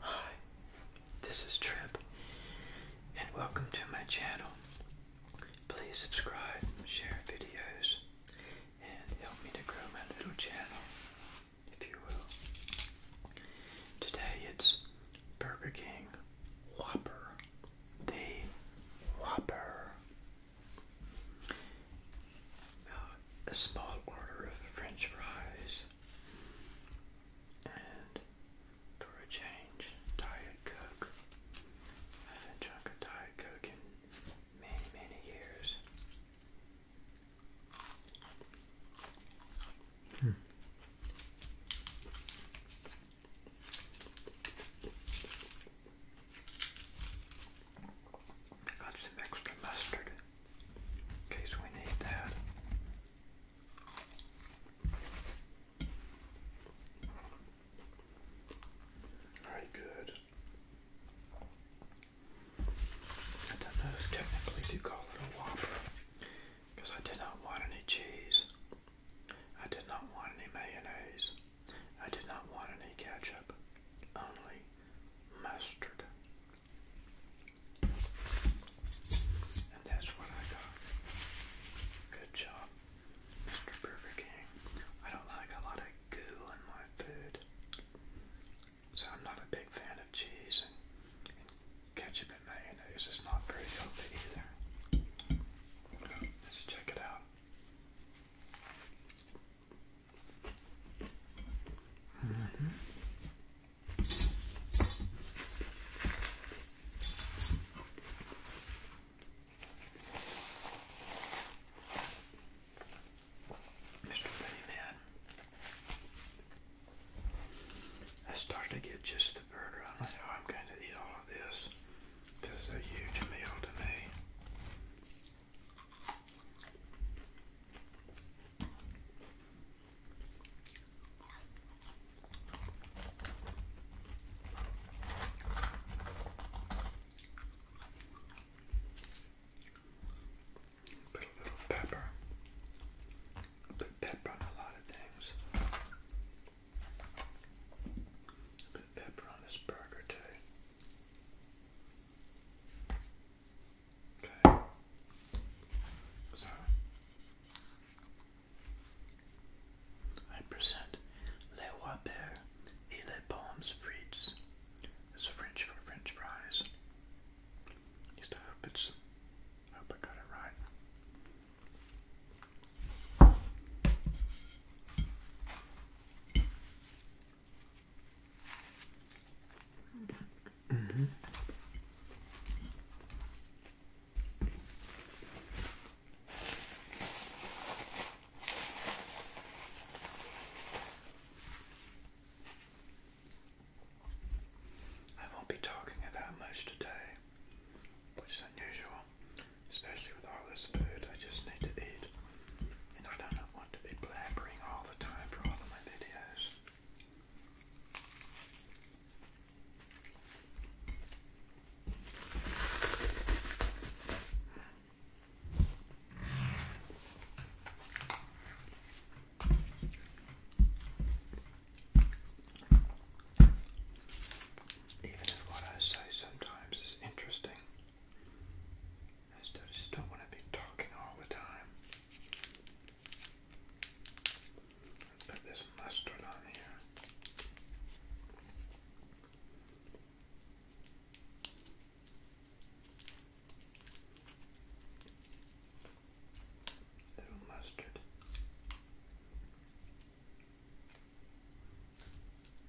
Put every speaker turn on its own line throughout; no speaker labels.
Hi, this is Trip, and welcome to my channel. Please subscribe, share videos, and help me to grow my little channel, if you will. Today it's Burger King Whopper, the Whopper. Uh, a small order of french fries and for a change, Diet Coke. I haven't drunk a Diet Coke in many, many years. Hmm. I got some extra mustard in case we need that. Alright, good. I don't know technically to call it a Whopper because I did not want any cheese. I did not want any mayonnaise. I did not want any ketchup. Only mustard. And that's what I got. Good job, Mr. Burger King. I don't like a lot of goo in my food. So I'm not a big fan of cheese and, ketchup and mayonnaise. It's not very healthy either. Let's check it out. Mm-hmm. I start to get just the burger. I don't know I'm going to eat all of this. This is a huge meal to me. Put a little pepper. Put pepper on a lot of things. Put pepper on this burger too. Okay. So I present les wapers les pommes frites. It's French for French fries. At least I hope I hope I got it right. Mm -hmm. I won't be talking about much today, which is unusual, especially with all this food I just need to eat. And I don't want to be blabbering all the time for all of my videos. Even if what I say sometimes is interesting, I still just don't want to be talking all the time. Put this mustard on here. Little mustard.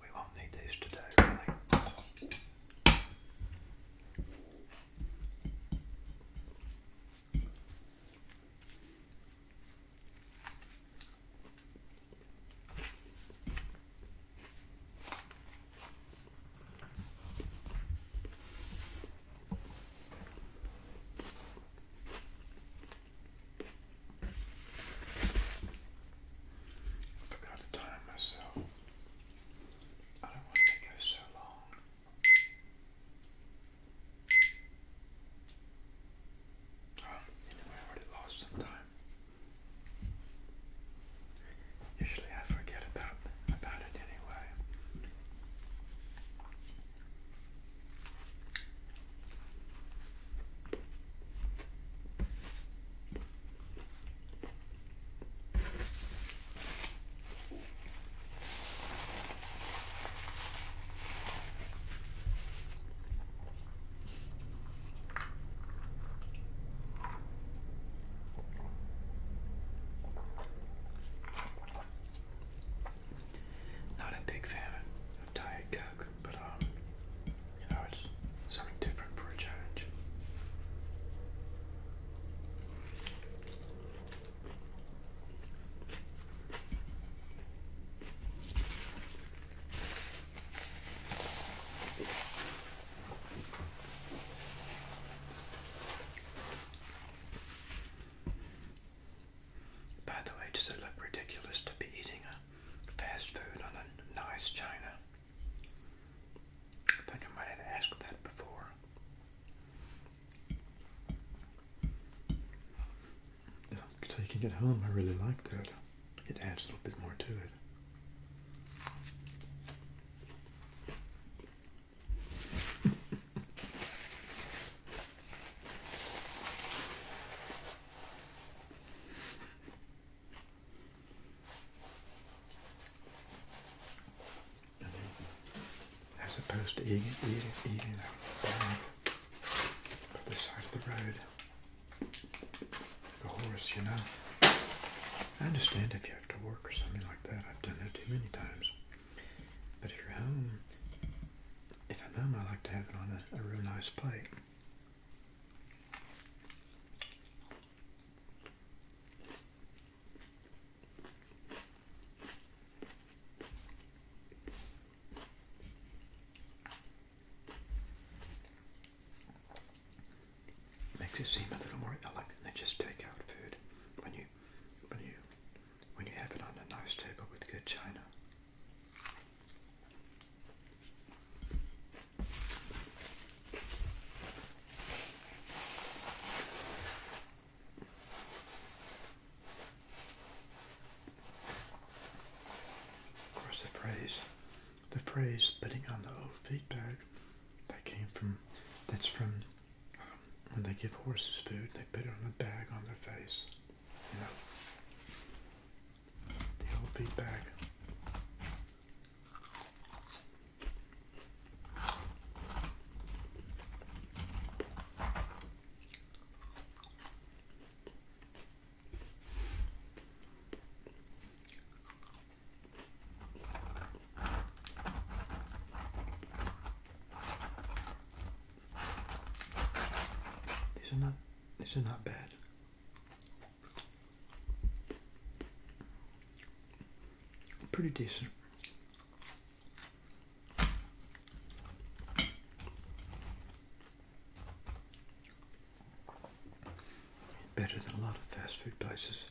We won't need these today, really. I forgot to time myself. I don't want to go so long. Oh, anyway, already lost some time. Usually I forget about about it anyway. Not a big fan of Diet Coke, but um, you know, it's something different for a change. By the way, does it look ridiculous to be eating a fast food on a nice china. I think I might have asked that before. Taking it home, I really like that. It adds a little bit more to it. And then, as opposed to eating, eating, eating that bar by the side of the road, the horse, you know. I understand if you have to work or something like that. I've done that too many times. But if you're home, if I'm home, I like to have it on a real nice plate. Makes it seem a little more elegant They just take out food when you when you when you have it on a nice table with good china. Of course, the phrase, the phrase "spitting on the old feed bag, that came from, that's from um, when they give horses food, they put it on a bag on their face. Yeah. The old feed bag. These this is not bad. Pretty decent. Better than a lot of fast food places.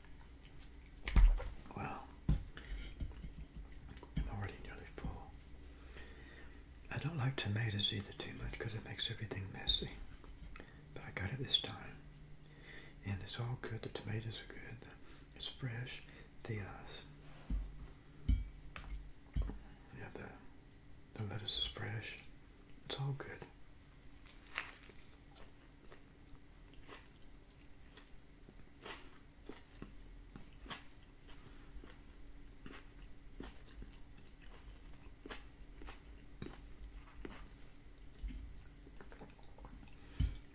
Well, I'm already nearly full. I don't like tomatoes either too much because it makes everything messy. But I got it this time. And it's all good. The tomatoes are good. It's fresh. The uh, yeah, the the lettuce is fresh. It's all good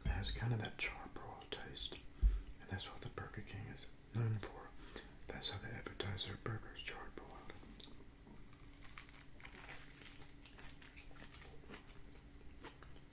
has kind of that charbroil taste, and that's what the Burger King is known for. That's how they advertise their burgers, charbroiled.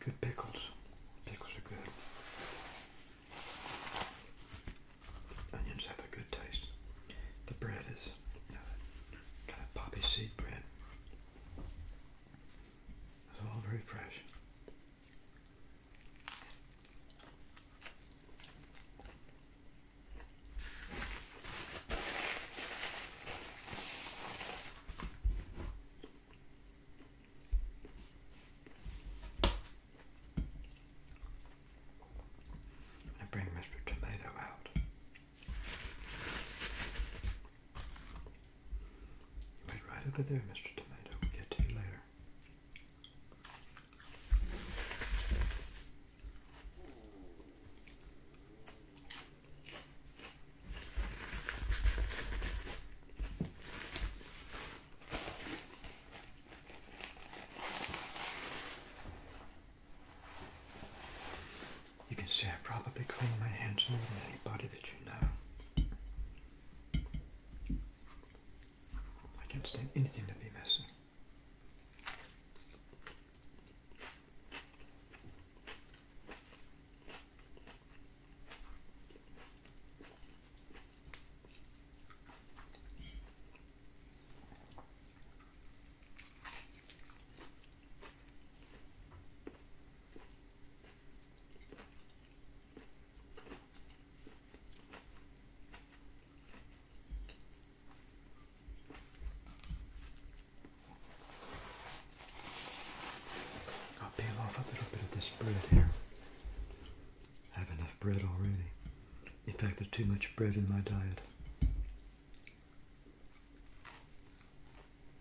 Good pickles. Pickles are good. Onions have a good taste. The bread is uh, poppy seed bread. It's all very fresh. I bring Mr. Tomato out. Wait right over there, Mr. Tomato. We'll get to you later. You can see I probably clean my hands more than anybody that you know. I can't stand anything to be messy. I'll oh, peel off a little bit of this bread here. I have enough bread already. In fact, there's too much bread in my diet.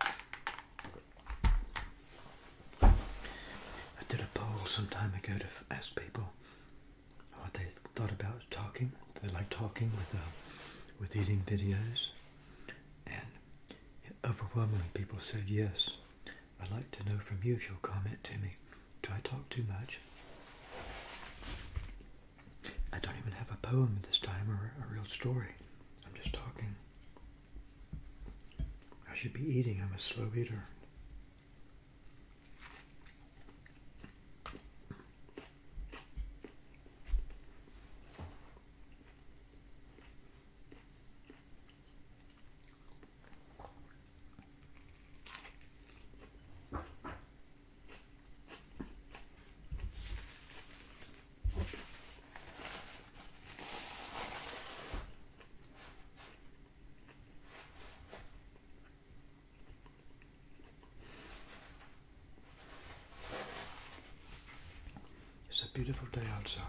I did a poll some time ago to ask people what they thought about talking. They like talking with uh, with eating videos, and overwhelmingly people said yes. I'd like to know from you if you'll comment to me. Do I talk too much? I don't even have a poem this time or a real story. I'm just talking. I should be eating. I'm a slow eater. It's a beautiful day outside.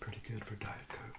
Pretty good for Diet Coke.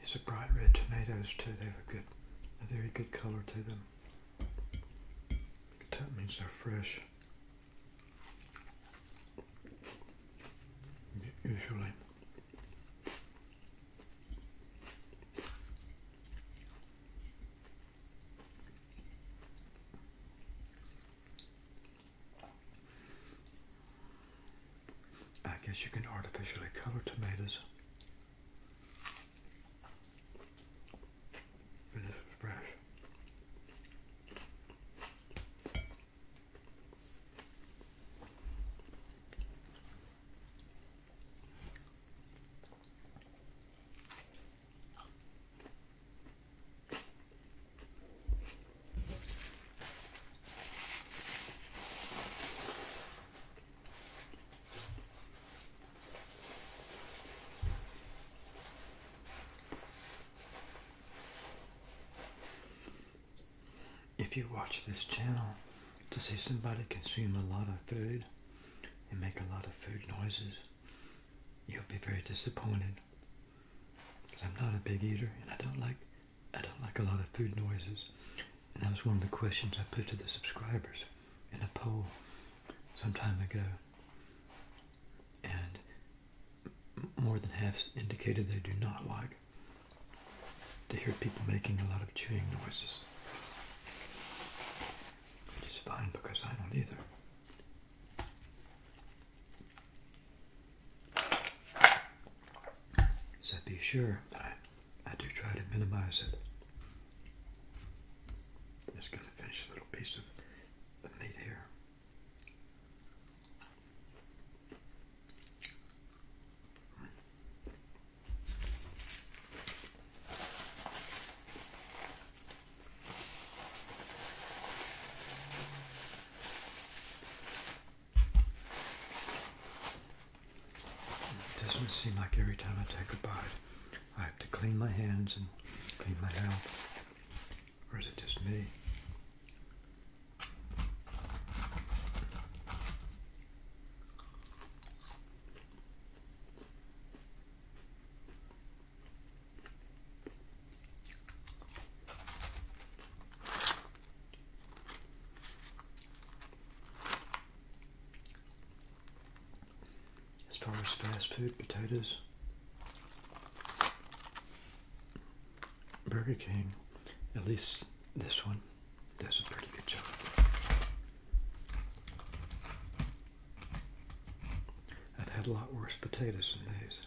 These are bright red tomatoes too. They have a good, a very good color to them. That means they're fresh. Usually. I guess you can artificially color tomatoes. And this is fresh. If you watch this channel to see somebody consume a lot of food and make a lot of food noises, you'll be very disappointed. Because I'm not a big eater and I don't like I don't like a lot of food noises. And that was one of the questions I put to the subscribers in a poll some time ago. And more than half indicated they do not like to hear people making a lot of chewing noises. Which is fine because I don't either. So be sure I do try to minimize it. just going to finish a little piece of the meat here. It doesn't seem like every time I take a bite, I have to clean my hands and clean my mouth. Or is it just me? As far as fast food, potatoes, Burger King, at least this one, does a pretty good job. I've had a lot worse potatoes than these.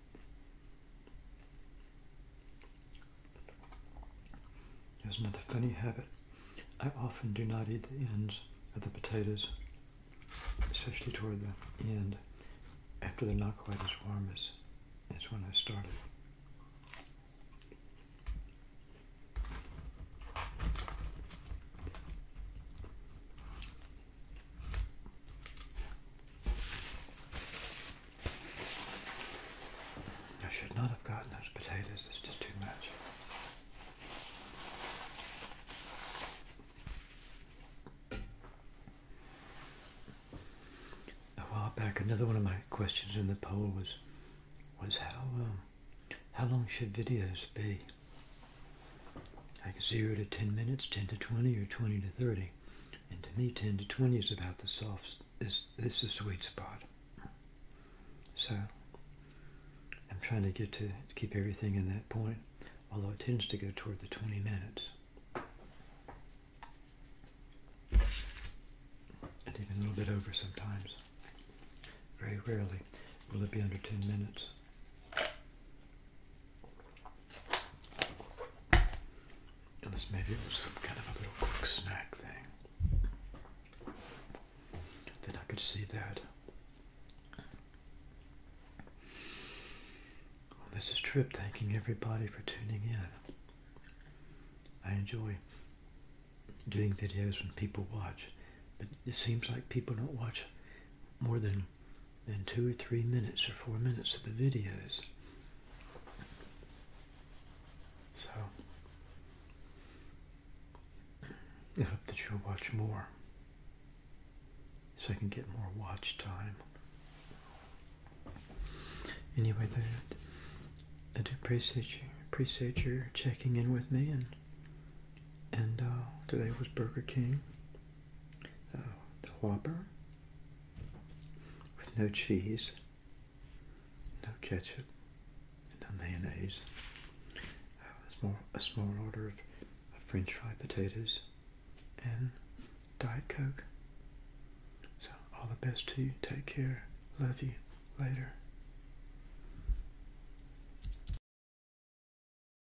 There's another funny habit. I often do not eat the ends of the potatoes, especially toward the end, after they're not quite as warm as, as when I started. I should not have gotten those potatoes, it's just too much. A while back, another one of my questions in the poll was, was how, um, how long should videos be? Like 0 to 10 minutes, 10 to 20, or 20 to 30? And to me, 10 to 20 is about the soft, is, is the sweet spot. So I'm trying to get to keep everything in that point, although it tends to go toward the 20 minutes. And even a little bit over sometimes. Very rarely will it be under 10 minutes. And this maybe was some kind of a little quick snack thing. Then I could see that. this is Trip thanking everybody for tuning in. I enjoy doing videos when people watch, but it seems like people don't watch more than and two or three minutes or four minutes of the videos. So, I hope that you'll watch more so I can get more watch time. Anyway, that I do appreciate you, appreciate your checking in with me, and and uh, today was Burger King, uh, the Whopper, with no cheese, no ketchup, no mayonnaise. Uh, a small, a small order of French fried potatoes and Diet Coke. So, all the best to you. Take care. Love you. Later.